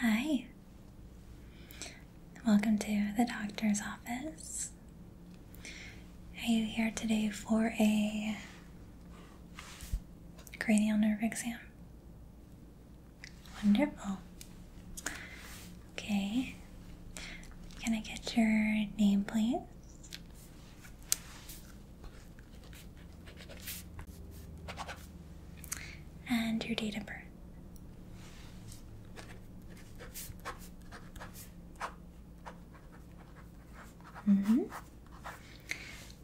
Hi. Welcome to the doctor's office. Are you here today for a cranial nerve exam? Wonderful. Okay. Can I get your name, please? and your date of birth. Mm hmm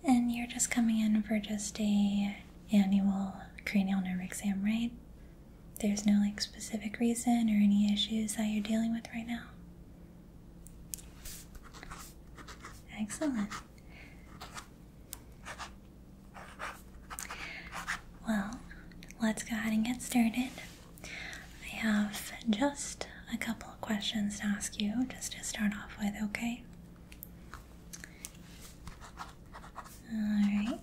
And you're just coming in for just a annual cranial nerve exam, right? There's no like specific reason or any issues that you're dealing with right now. Excellent. Well, let's go ahead and get started. I have just a couple of questions to ask you just to start off with, okay? Alright.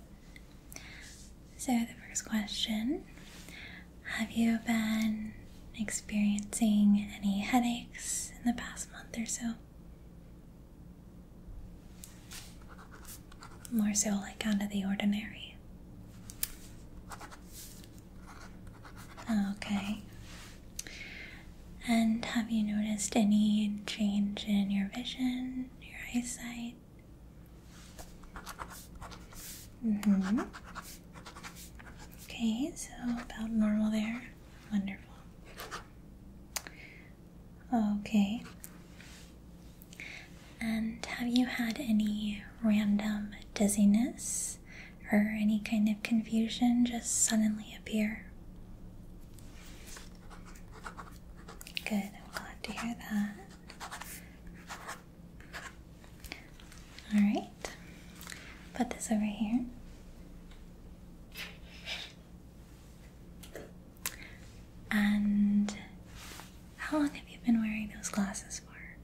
So, the first question Have you been experiencing any headaches in the past month or so? More so like out of the ordinary. Okay. And have you noticed any change in your vision, your eyesight? Mm-hmm. Okay, so about normal there. Wonderful. Okay. And have you had any random dizziness or any kind of confusion just suddenly appear? Good, I'm glad to hear that. Alright, put this over here. And how long have you been wearing those glasses for?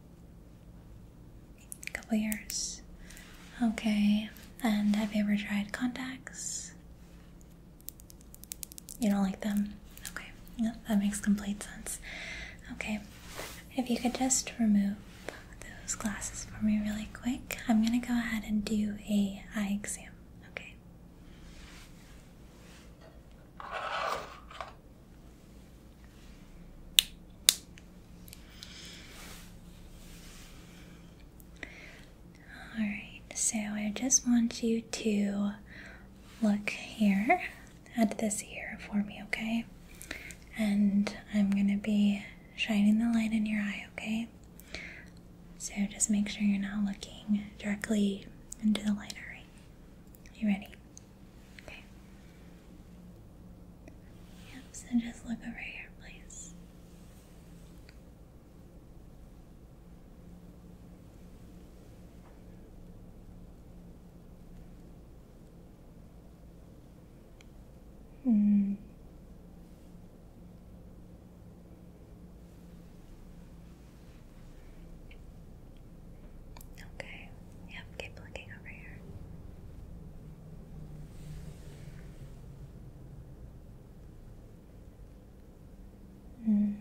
A couple years. Okay. And have you ever tried contacts? You don't like them? Okay. No, that makes complete sense. Okay. If you could just remove those glasses for me really quick, I'm gonna go ahead and do a eye exam. Okay. All right, so I just want you to look here at this ear for me, okay? And I'm gonna be shining the light in your eye, okay? So just make sure you're not looking directly into the light, alright? You ready? Okay. Yep, so just look over here, please. Hmm. Okay, yep, keep looking over here. Mm.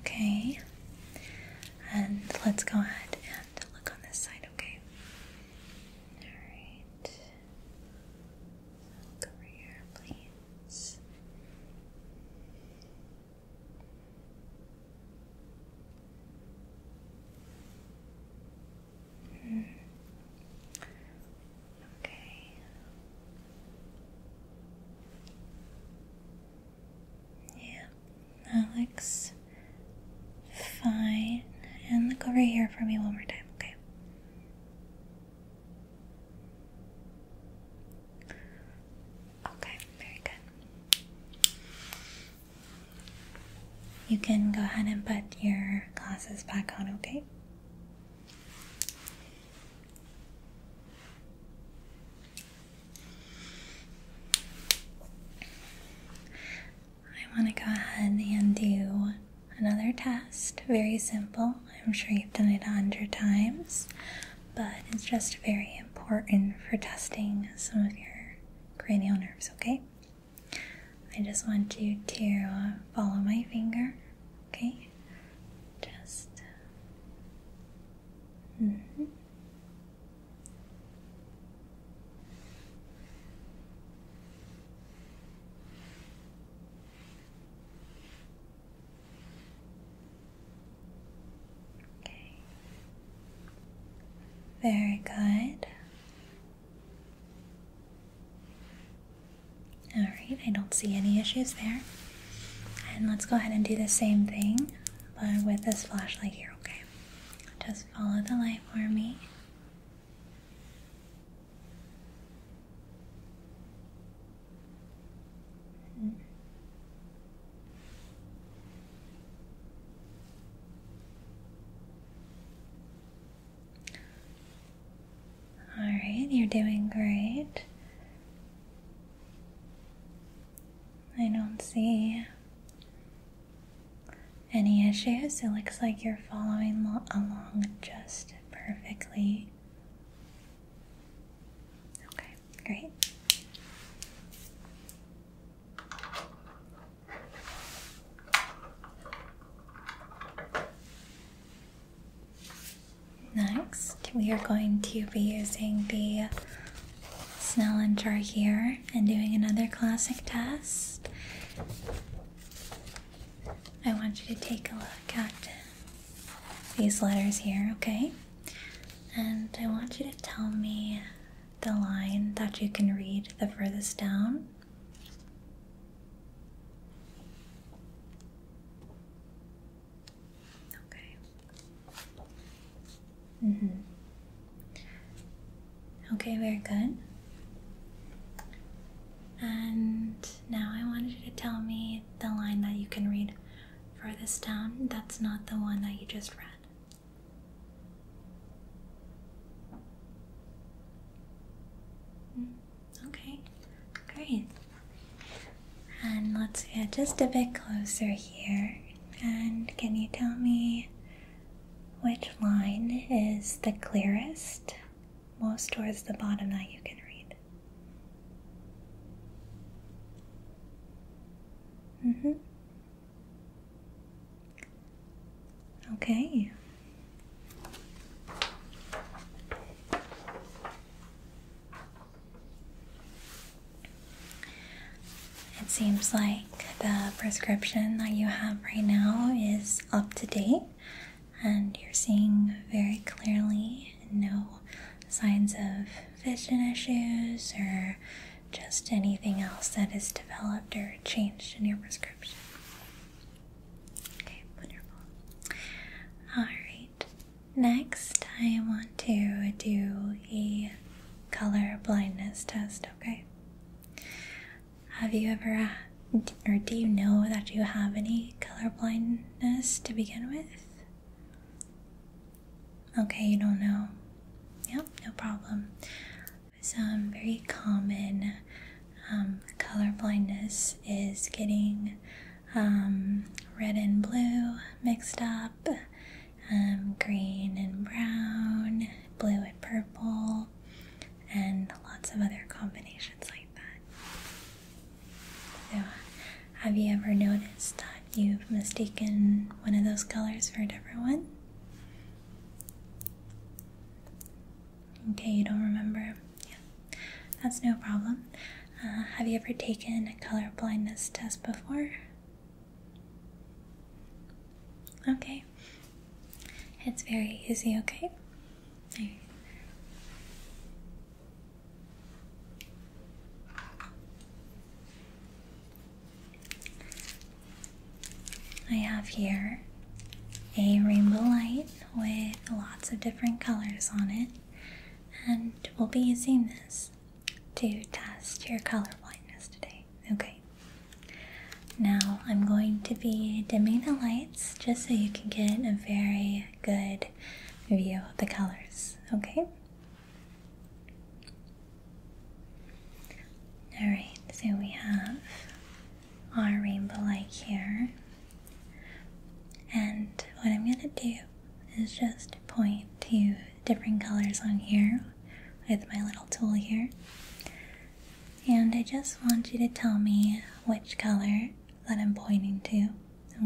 Okay, and let's go ahead and look on this side, okay? Alright career plans. Hmm. Okay. Yeah, that fine. And look over here for me one more time, okay? Okay, very good. You can go ahead and put your glasses back on, okay? I want to go ahead and do Another test, very simple. I'm sure you've done it a hundred times, but it's just very important for testing some of your cranial nerves, okay? I just want you to follow my finger, okay? Just. Mm-hmm. Okay. Very good. All right, I don't see any issues there. And let's go ahead and do the same thing, but with this flashlight here, okay? Just follow the light for me mm all right, you're doing great. I don't see any issues. It looks like you're following along just perfectly. Okay, great. Next, we are going to be using the Snellen chart here and doing another classic test. I want you to take a look at these letters here, okay? And I want you to tell me the line that you can read the furthest down. Okay. Mm -hmm. Okay, very good. And now I wanted you to tell me the line that you can read for this town that's not the one that you just read. Hmm, okay, great. And let's get just a bit closer here. And can you tell me which line is the clearest most towards the bottom that you can read. hmm. Okay. It seems like the prescription that you have right now is up to date and you're seeing very clearly no signs of vision issues or just anything else that has developed or changed in your prescription. Okay, wonderful. Alright, next I want to do a color blindness test, okay? Have you ever or do you know that you have any color blindness to begin with? Okay, you don't know. Yep, no problem. Some um, very common um, color blindness is getting um, red and blue mixed up, green and brown, blue and purple, and lots of other combinations like that have you ever noticed that you've mistaken one of those colors for a different one? Okay, you don't remember. Yeah, that's no problem. Uh, have you ever taken a color blindness test before? Okay, it's very easy, okay? I have here a rainbow light with lots of different colors on it, and we'll be using this to test your color blindness today. Okay, now I'm going to be dimming the lights just so you can get a very good view of the colors, okay? Alright, so we have our rainbow light here. And what I'm gonna do is just point to different colors on here with my little tool here. And I just want you to tell me which color that I'm pointing to.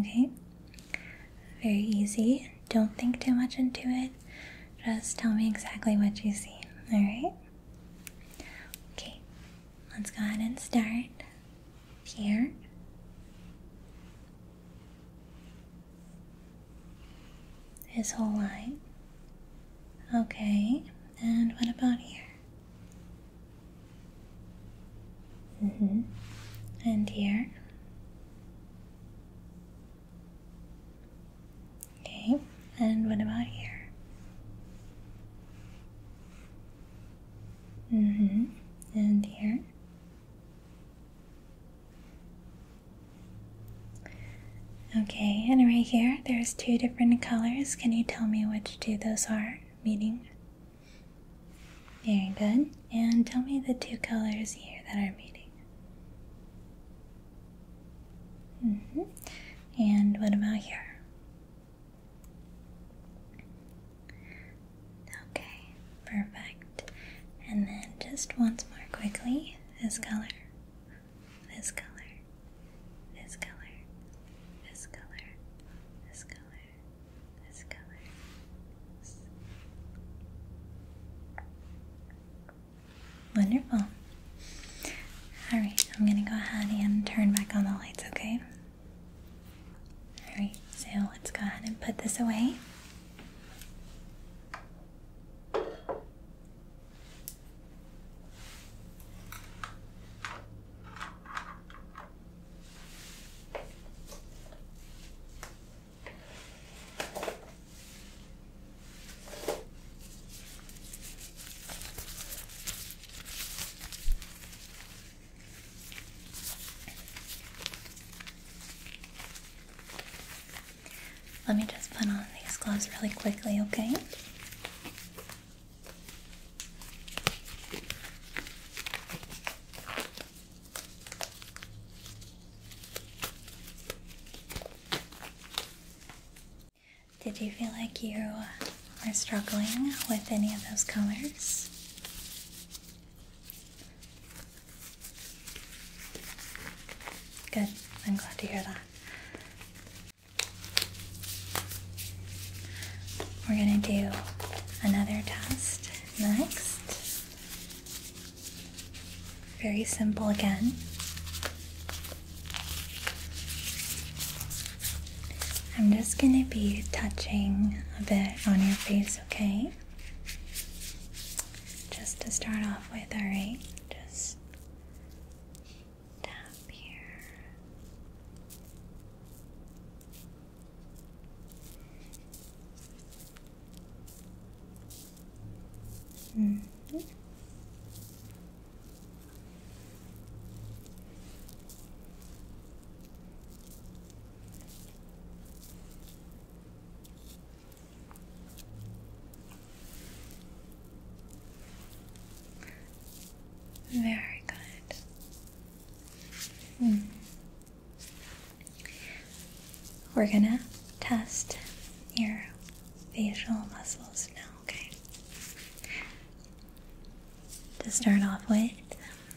Okay? Very easy. Don't think too much into it. Just tell me exactly what you see. Alright? Okay, let's go ahead and start here. His whole line. Okay, and what about here? Mm -hmm. And here. Okay, and what about here? Mm hmm And here. Okay, and right here, there's two different colors. Can you tell me which two those are? Meaning, very good. And tell me the two colors here that are meeting. Mm-hmm. And what about here? Okay, perfect. And then just once more quickly this color, this color, this color, this color, this color, this color. Wonderful. Alright, I'm gonna go ahead and turn back on the lights, okay? Alright, so let's go ahead and put this away. Let me just put on these gloves really quickly, okay? Did you feel like you were struggling with any of those colors? Good, I'm glad to hear that. We're going to do another test next. Very simple again. I'm just going to be touching a bit on your face, okay? Just to start off with, alright? Just tap here. -hmm. Very good. Hmm. We're gonna test your facial muscles now, okay? To start off with,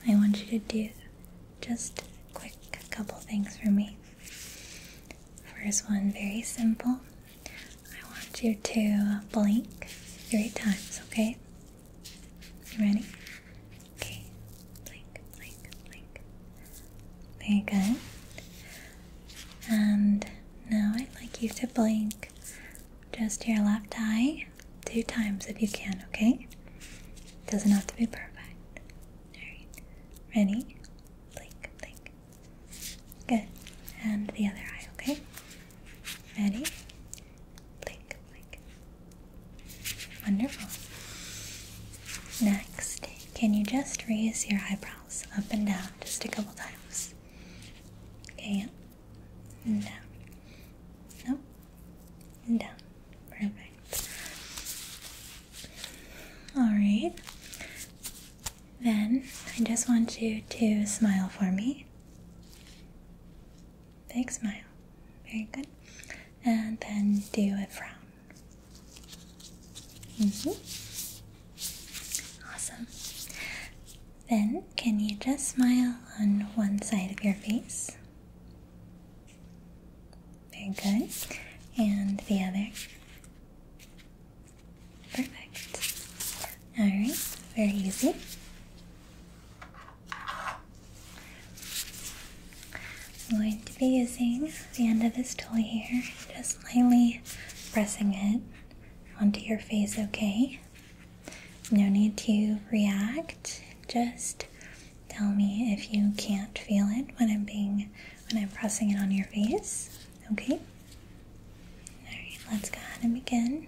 I want you to do just a quick couple things for me. First one, very simple. I want you to blink three times, okay? You ready? Okay. Blink, blink, blink. Very good. And now I'd like you to blink just your left eye two times if you can, okay? doesn't have to be perfect. Alright. Ready? Blink, blink. Good. And the other eye, okay? Ready? blink, blink. Wonderful. Next, can you just raise your eyebrows up and down just a couple times? Okay, up and down. No, and down. Perfect. All right. Then I just want you to smile for me. Big smile. Very good. And then do a frown. -hmm. Awesome. Then, can you just smile on one side of your face? Very good. And the other. Perfect. Alright, very easy. I'm going to be using the end of this tool here, just lightly pressing it onto your face, okay? No need to react. Just tell me if you can't feel it when I'm being when I'm pressing it on your face. Okay? Alright, let's go ahead and begin.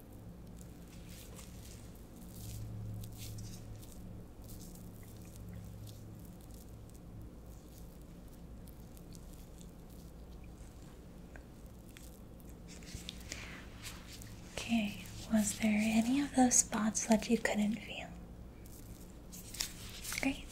Okay, was there any of those spots that you couldn't feel? Great.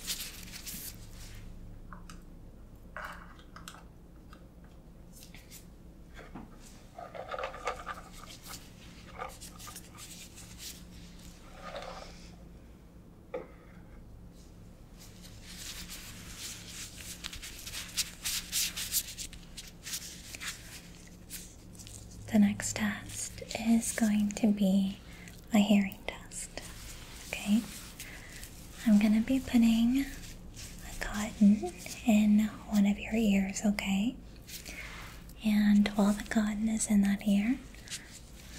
The next test is going to be a hearing test. Okay? I'm going to be putting a cotton in one of your ears, okay? And while the cotton is in that ear,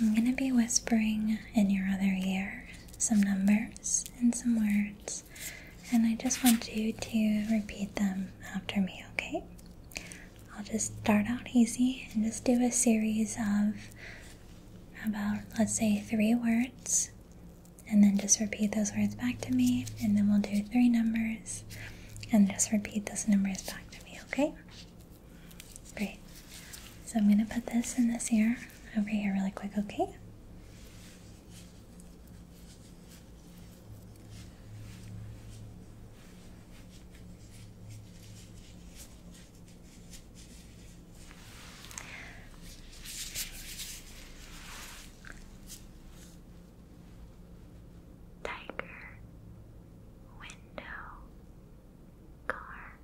I'm going to be whispering in your other ear some numbers and some words, and I just want you to repeat them after me, okay? I'll just start out easy and just do a series of about, let's say, three words, and then just repeat those words back to me, and then we'll do three numbers and just repeat those numbers back to me, okay? Great. So I'm gonna put this in this ear over here really quick, okay? tiger, window, car.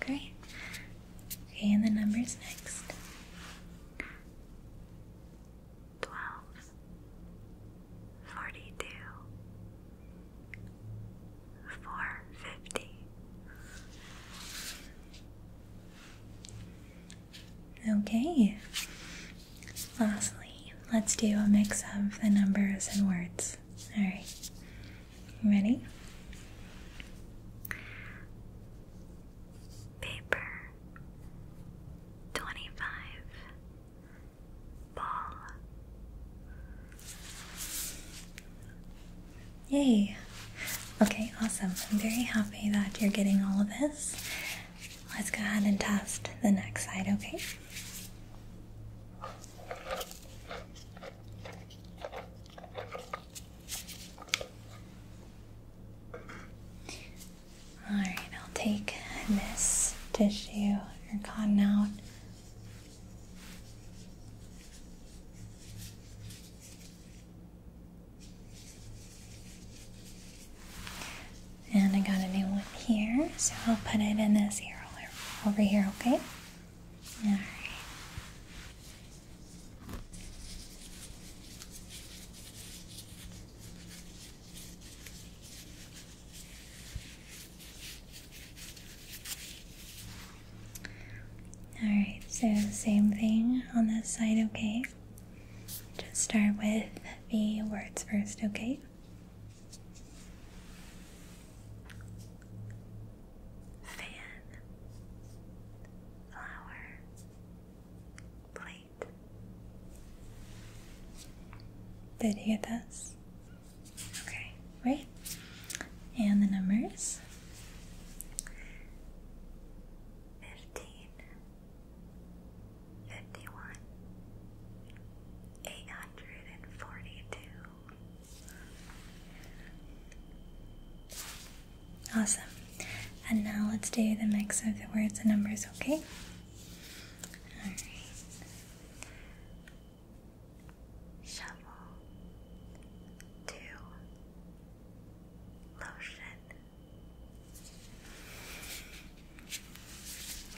Great. Okay, and the numbers next. Twelve, forty-two, four fifty. Okay. Lastly, let's do a mix of the numbers and words. All right. Ready? Paper twenty five ball Yay! Okay, awesome. I'm very happy that you're getting all of this. Let's go ahead and test the next side, okay? Alright, I'll take this tissue or cotton out. And I got a new one here, so I'll put it in this ear over here, okay? Alright. Alright, so same thing on this side, okay? Just start with the words first, okay? Fan, flower, plate. Did you get this? Okay right? And the numbers 15, 842. Awesome. And now let's do the mix of the words and numbers, okay? shovel, two, lotion.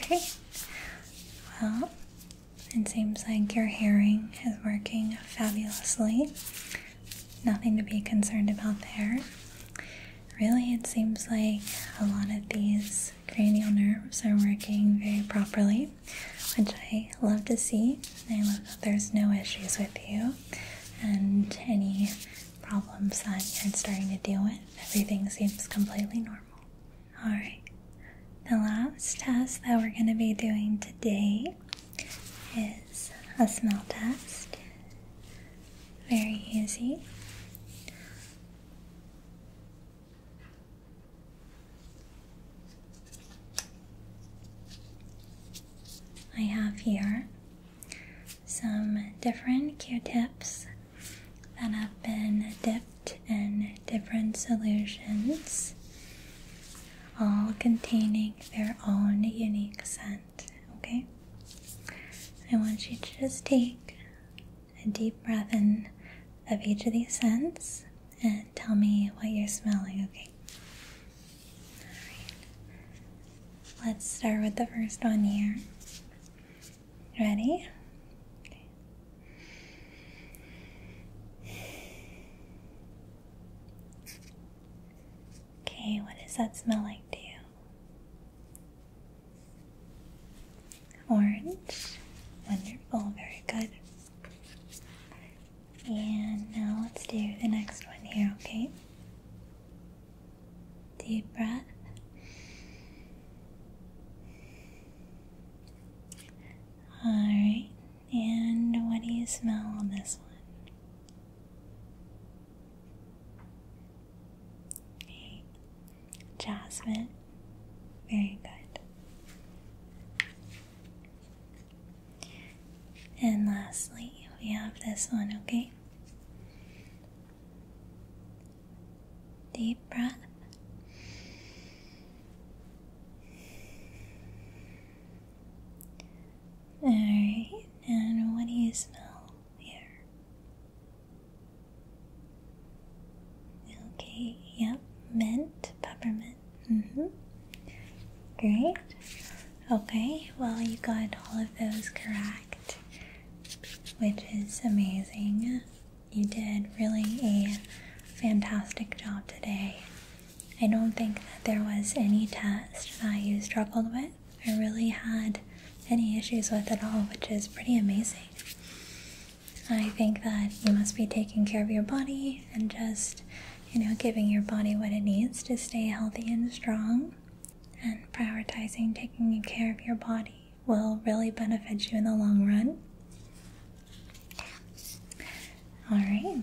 Okay, well, it seems like your hearing is working fabulously. Nothing to be concerned about there. Really, it seems like a lot of these cranial nerves are working very properly which I love to see. I love that there's no issues with you and any problems that you're starting to deal with. Everything seems completely normal. All right, the last test that we're going to be doing today is a smell test. Very easy. I have here some different Q-tips that have been dipped in different solutions, all containing their own unique scent. Okay, I want you to just take a deep breath in of each of these scents and tell me what you're smelling. Okay, Let's start with the first one here. Ready? Okay. okay, what does that smell like to you? Orange. Wonderful, very good. And now let's do the next one here, okay? Deep breath. Alright, and what do you smell on this one? Okay. Jasmine. Very good. And lastly, we have this one, okay? Deep breath. Alright, and what do you smell here? Okay, yep, mint, peppermint. Mm -hmm. Great. Okay, well, you got all of those correct, which is amazing. You did really a fantastic job today. I don't think that there was any test that you struggled with or really had any issues with at all, which is pretty amazing. I think that you must be taking care of your body and just you know, giving your body what it needs to stay healthy and strong and prioritizing taking care of your body will really benefit you in the long run. All right.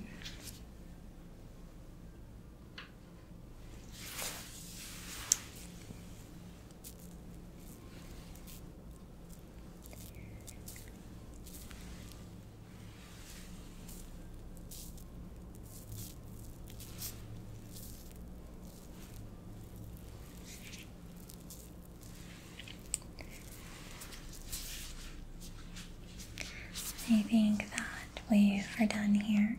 I think that we are done here.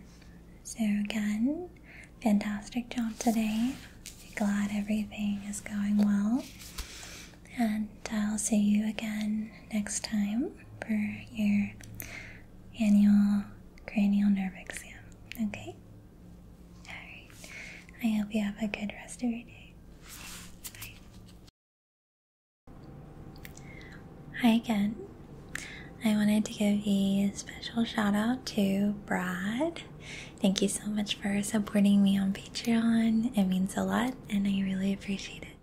So again, fantastic job today. Glad everything is going well. And I'll see you again next time for your annual cranial nerve exam. Okay? Alright. I hope you have a good rest of your day. Hi again. I wanted to give you a special shout out to Brad. Thank you so much for supporting me on Patreon. It means a lot and I really appreciate it.